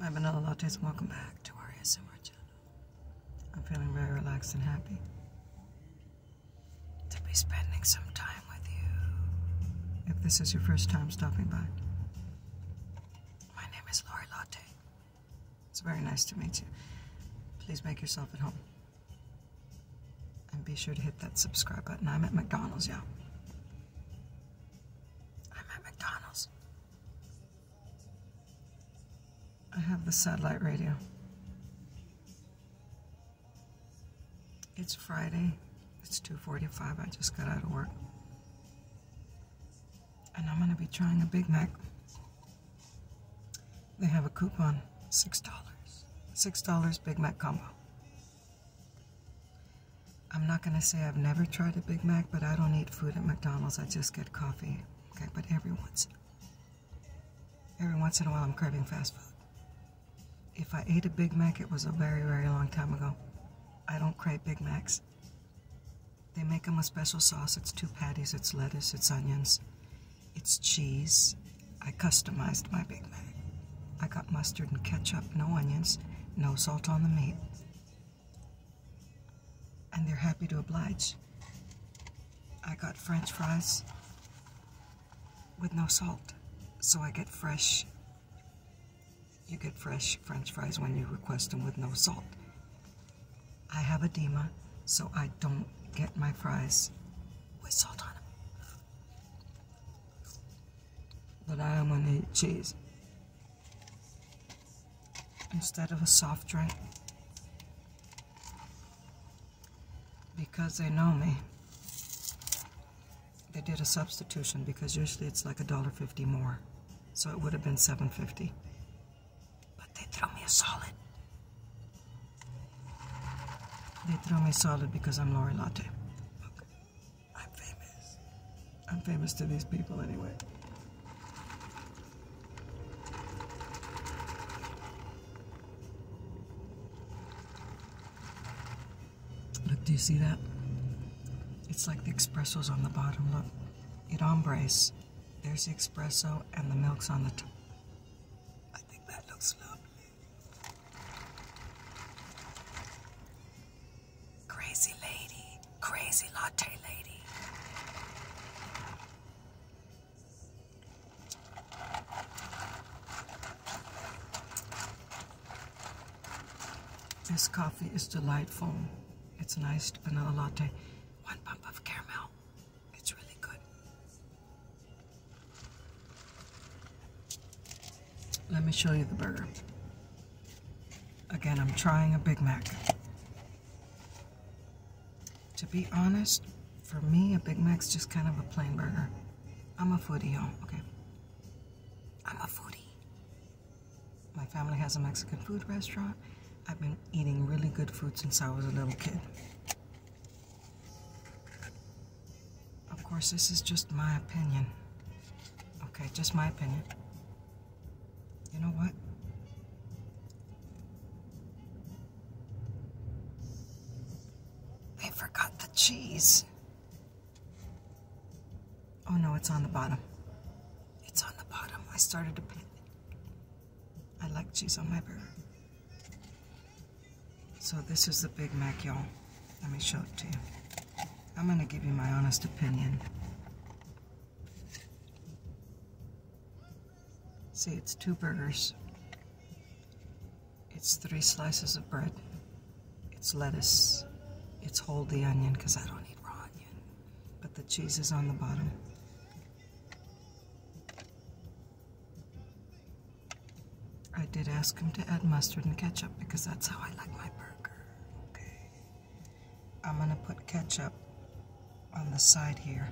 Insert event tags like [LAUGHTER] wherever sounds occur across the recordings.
Hi, Vanilla Lattes, welcome back to our ASMR channel. I'm feeling very relaxed and happy to be spending some time. If this is your first time stopping by, my name is Lori Latte. It's very nice to meet you. Please make yourself at home. And be sure to hit that subscribe button. I'm at McDonald's, y'all. I'm at McDonald's. I have the satellite radio. It's Friday. It's 2.45. I just got out of work. And I'm going to be trying a Big Mac. They have a coupon. $6. $6 Big Mac combo. I'm not going to say I've never tried a Big Mac, but I don't eat food at McDonald's. I just get coffee. Okay, but every once, every once in a while I'm craving fast food. If I ate a Big Mac, it was a very, very long time ago. I don't crave Big Macs. They make them a special sauce. It's two patties, it's lettuce, it's onions, it's cheese. I customized my Big Mac. I got mustard and ketchup, no onions, no salt on the meat. And they're happy to oblige. I got french fries, with no salt. So I get fresh. You get fresh french fries when you request them with no salt. I have edema, so I don't get my fries with salt on them. But I am going to eat cheese instead of a soft drink because they know me they did a substitution because usually it's like a dollar fifty more. So it would have been seven fifty. But they threw me a solid. They threw me solid because I'm Lori Latte. I'm famous. I'm famous to these people anyway. Look, do you see that? It's like the espresso's on the bottom. Look, it ombres. There's the espresso and the milk's on the top. I think that looks lovely. Crazy lady, crazy latte lady. This coffee is delightful. It's an iced vanilla latte. One pump of caramel. It's really good. Let me show you the burger. Again, I'm trying a Big Mac. To be honest, for me, a Big Mac's just kind of a plain burger. I'm a foodie, y'all. Okay. I'm a foodie. My family has a Mexican food restaurant. I've been eating really good food since I was a little kid. Of course, this is just my opinion. Okay, just my opinion. You know what? I forgot the cheese. Oh no, it's on the bottom. It's on the bottom. I started to I like cheese on my burger. So this is the Big Mac, y'all. Let me show it to you. I'm gonna give you my honest opinion. See, it's two burgers. It's three slices of bread. It's lettuce. It's hold the onion, because I don't eat raw onion. But the cheese is on the bottom. I did ask him to add mustard and ketchup because that's how I like my burger. Okay. I'm gonna put ketchup on the side here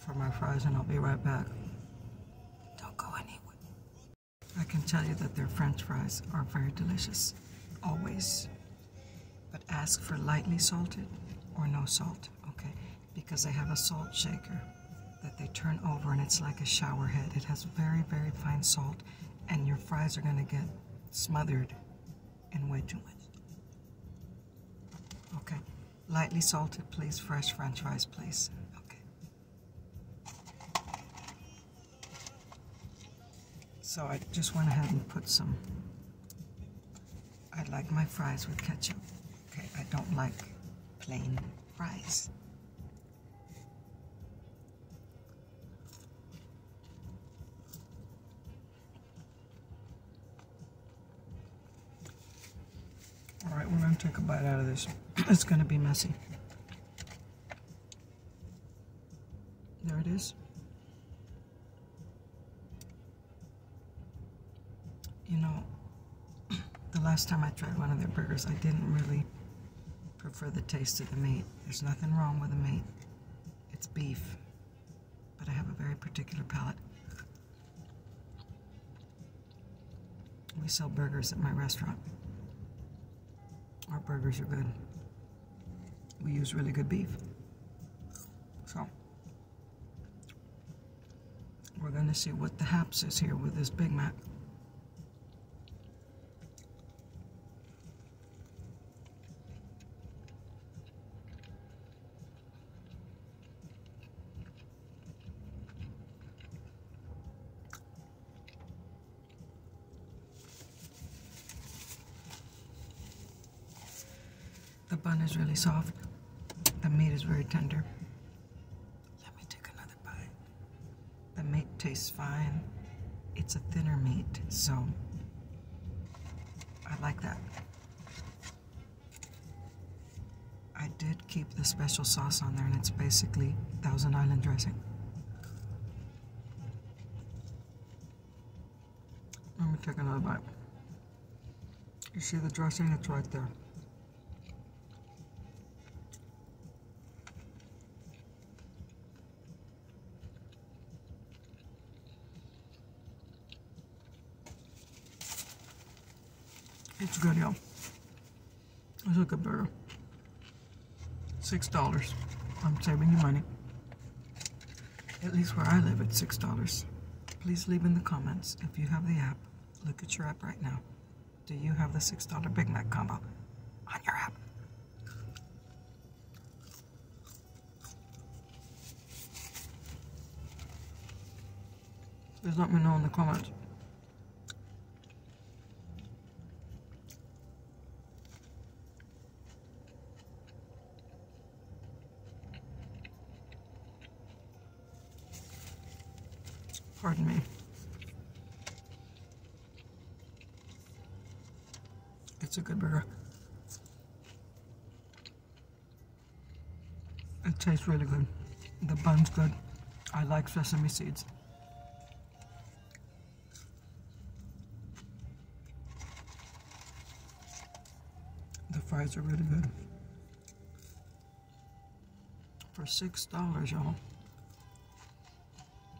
for my fries and I'll be right back. Don't go anywhere. I can tell you that their french fries are very delicious, always. But ask for lightly salted or no salt, okay? Because they have a salt shaker that they turn over and it's like a shower head. It has very, very fine salt and your fries are gonna get smothered and way too much. Okay. Lightly salted, please. Fresh french fries, please. Okay. So I just went ahead and put some. I like my fries with ketchup. Okay, I don't like plain fries. All right, we're going to take a bite out of this. [CLEARS THROAT] It's going to be messy. There it is. You know, [CLEARS THROAT] the last time I tried one of their burgers, I didn't really prefer the taste of the meat. There's nothing wrong with the meat. It's beef. But I have a very particular palate. We sell burgers at my restaurant. Our burgers are good. We use really good beef. So, we're going to see what the haps is here with this Big Mac. The bun is really soft. The meat is very tender. Let me take another bite. The meat tastes fine. It's a thinner meat, so I like that. I did keep the special sauce on there, and it's basically Thousand Island dressing. Let me take another bite. You see the dressing? It's right there. It's good, y'all. It's a good burger. Six dollars. I'm saving you money. At least where I live, it's six dollars. Please leave in the comments if you have the app. Look at your app right now. Do you have the six dollar Big Mac combo on your app? Please let me know in the comments. Pardon me. It's a good burger. It tastes really good. The bun's good. I like sesame seeds. The fries are really good. For six dollars, y'all.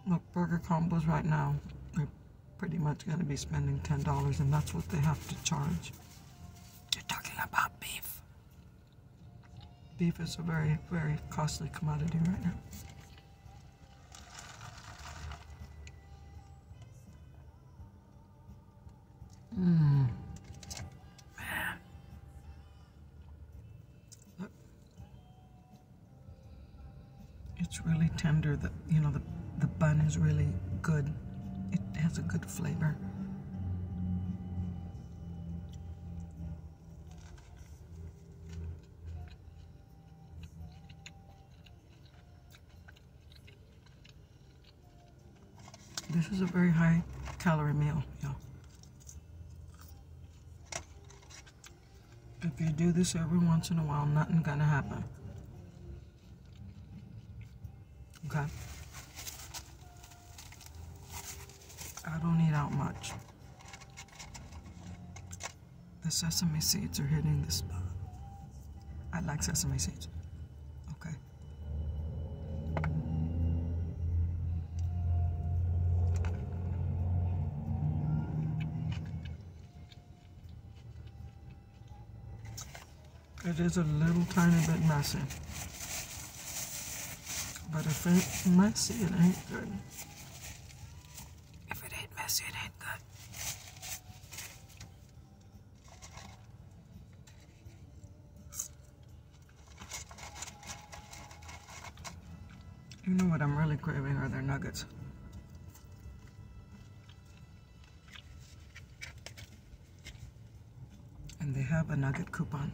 Look, burger combos right now, we're pretty much going to be spending ten dollars, and that's what they have to charge. You're talking about beef. Beef is a very, very costly commodity right now. Mmm. Man. Look. It's really tender. The, you know, the, the bun is really good. It has a good flavor. This is a very high calorie meal, y'all. If you do this every once in a while, nothing gonna happen. Okay. I don't eat out much. The sesame seeds are hitting the spot. I like sesame seeds. Okay. It is a little tiny bit messy. But if it messy, it ain't good. If it ain't messy, it ain't good. You know what I'm really craving are their nuggets. And they have a nugget coupon.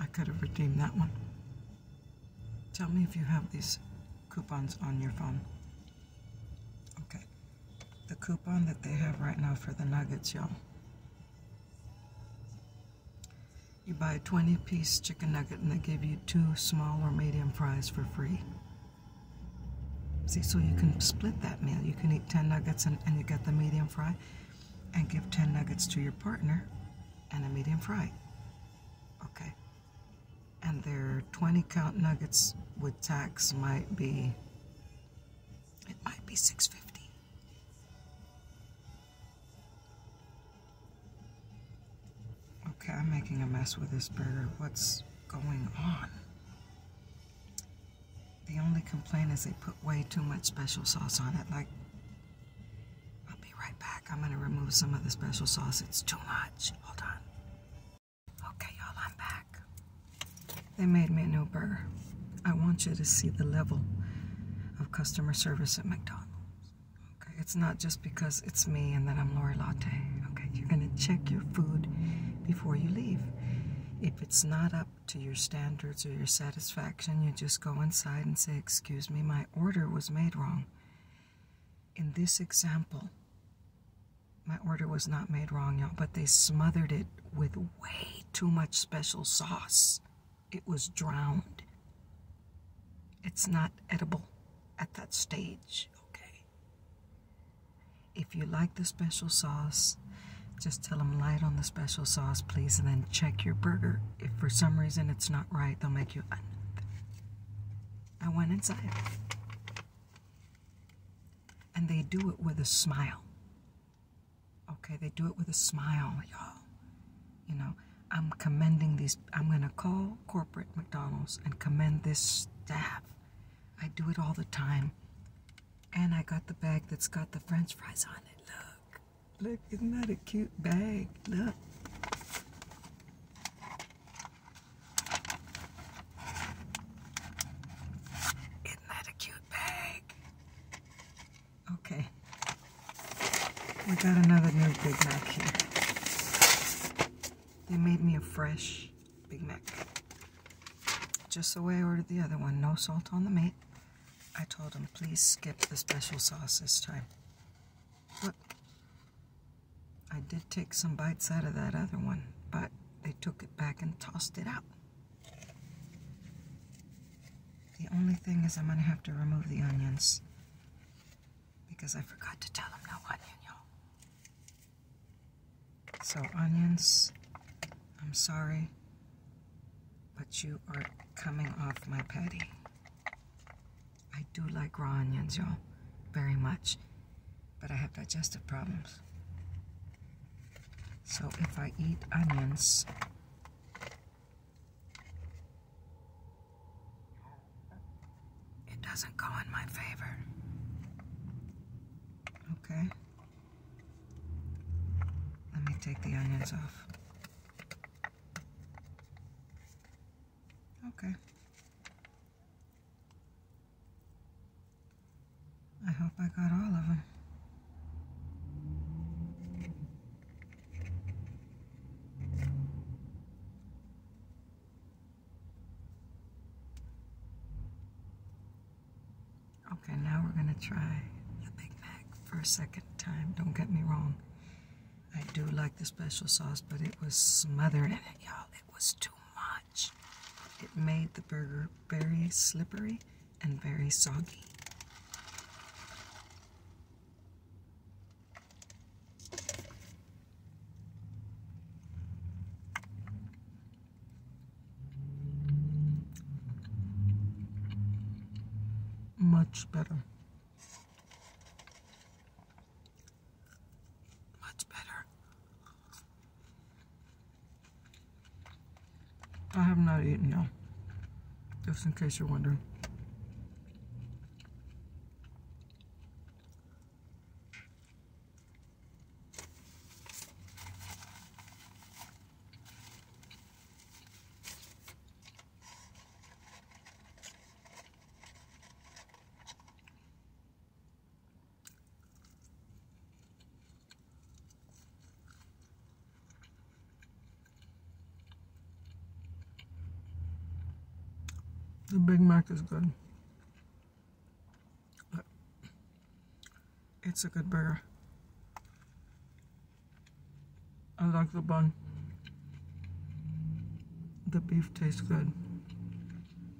I could have redeemed that one. Tell me if you have these coupons on your phone. Okay. The coupon that they have right now for the nuggets, y'all. You buy a 20 piece chicken nugget and they give you two small or medium fries for free. See, so you can split that meal. You can eat 10 nuggets and, you get the medium fry, and give 10 nuggets to your partner and a medium fry. Okay. And their 20 count nuggets with tax might be, it might be 650 Okay, I'm making a mess with this burger. What's going on? The only complaint is they put way too much special sauce on it. Like, I'll be right back. I'm going to remove some of the special sauce. It's too much. Hold on. Okay, y'all, I'm back. They made me a new burger. I want you to see the level of customer service at McDonald's. Okay, it's not just because it's me and that I'm Lori Latte. Okay, you're going to check your food before you leave. If it's not up to your standards or your satisfaction, you just go inside and say, Excuse me, my order was made wrong. In this example, my order was not made wrong, y'all, but they smothered it with way too much special sauce. It was drowned. It's not edible at that stage, okay? If you like the special sauce, just tell them light on the special sauce, please, and then check your burger. If for some reason it's not right, they'll make you another. I went inside. And they do it with a smile. Okay, they do it with a smile, y'all. You know, I'm commending these, I'm going to call corporate McDonald's and commend this staff I do it all the time. And I got the bag that's got the french fries on it. Look. Look, isn't that a cute bag? Look. Isn't that a cute bag? Okay. We got another new Big Mac here. They made me a fresh Big Mac. Just the way I ordered the other one. No salt on the meat. I told him, please skip the special sauce this time. Look, I did take some bites out of that other one, but they took it back and tossed it out. The only thing is I'm going to have to remove the onions because I forgot to tell them no onion, so onions, I'm sorry, but you are coming off my patty. I do like raw onions, y'all, very much, but I have digestive problems. So if I eat onions, it doesn't go in my favor. Okay. Let me take the onions off. Okay. I hope I got all of them. Okay, now we're going to try the Big Mac for a second time. Don't get me wrong. I do like the special sauce, but it was smothered in it, y'all. It was too much. It made the burger very slippery and very soggy. Much better. Much better. I have not eaten now, just in case you're wondering. The Big Mac is good it's a good burger. I like the bun. The beef tastes good.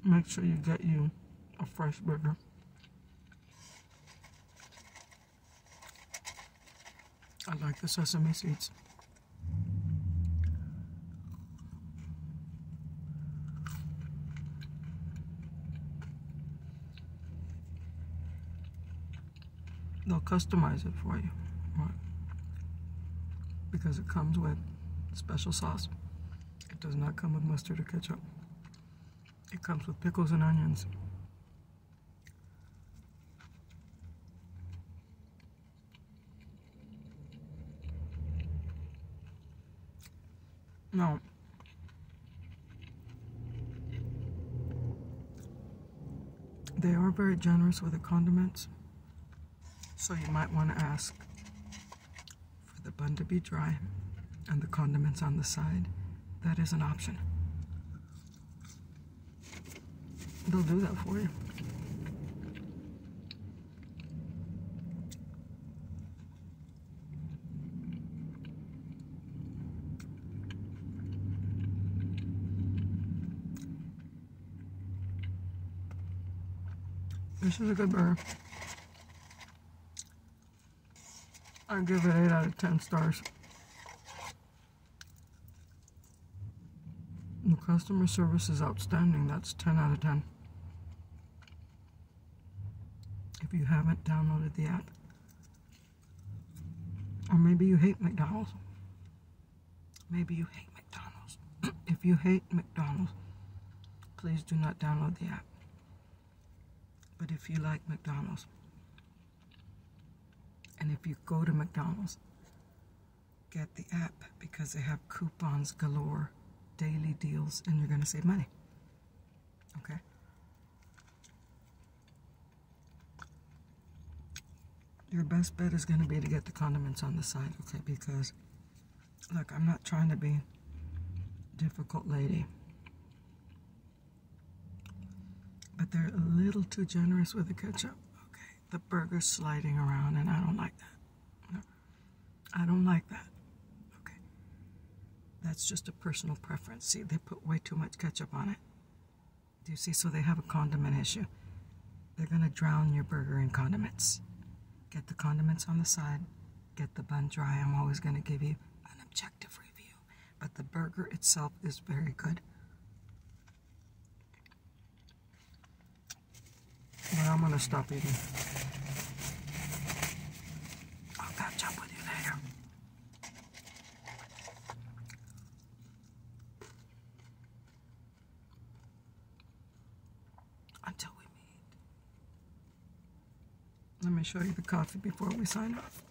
Make sure you get you a fresh burger. I like the sesame seeds. They'll customize it for you right? because it comes with special sauce. It does not come with mustard or ketchup. It comes with pickles and onions. No. They are very generous with the condiments, so you might want to ask for the bun to be dry and the condiments on the side. That is an option. They'll do that for you. This is a good burger. I give it 8 out of 10 stars. The customer service is outstanding. That's 10 out of 10 if you haven't downloaded the app. Or maybe you hate McDonald's. Maybe you hate McDonald's. [CLEARS THROAT] if you hate McDonald's, please do not download the app. But if you like McDonald's, and if you go to McDonald's, get the app because they have coupons galore, daily deals, and you're going to save money. Okay? Your best bet is going to be to get the condiments on the side, okay? Because, look, I'm not trying to be difficult lady. But they're a little too generous with the ketchup. Okay, the burger's sliding around, and I don't like that. I don't like that. Okay. That's just a personal preference. See, they put way too much ketchup on it. Do you see? So they have a condiment issue. They're going to drown your burger in condiments. Get the condiments on the side. Get the bun dry. I'm always going to give you an objective review. But the burger itself is very good. Well, I'm gonna stop eating. I'll catch up with you later. Until we meet. Let me show you the coffee before we sign off.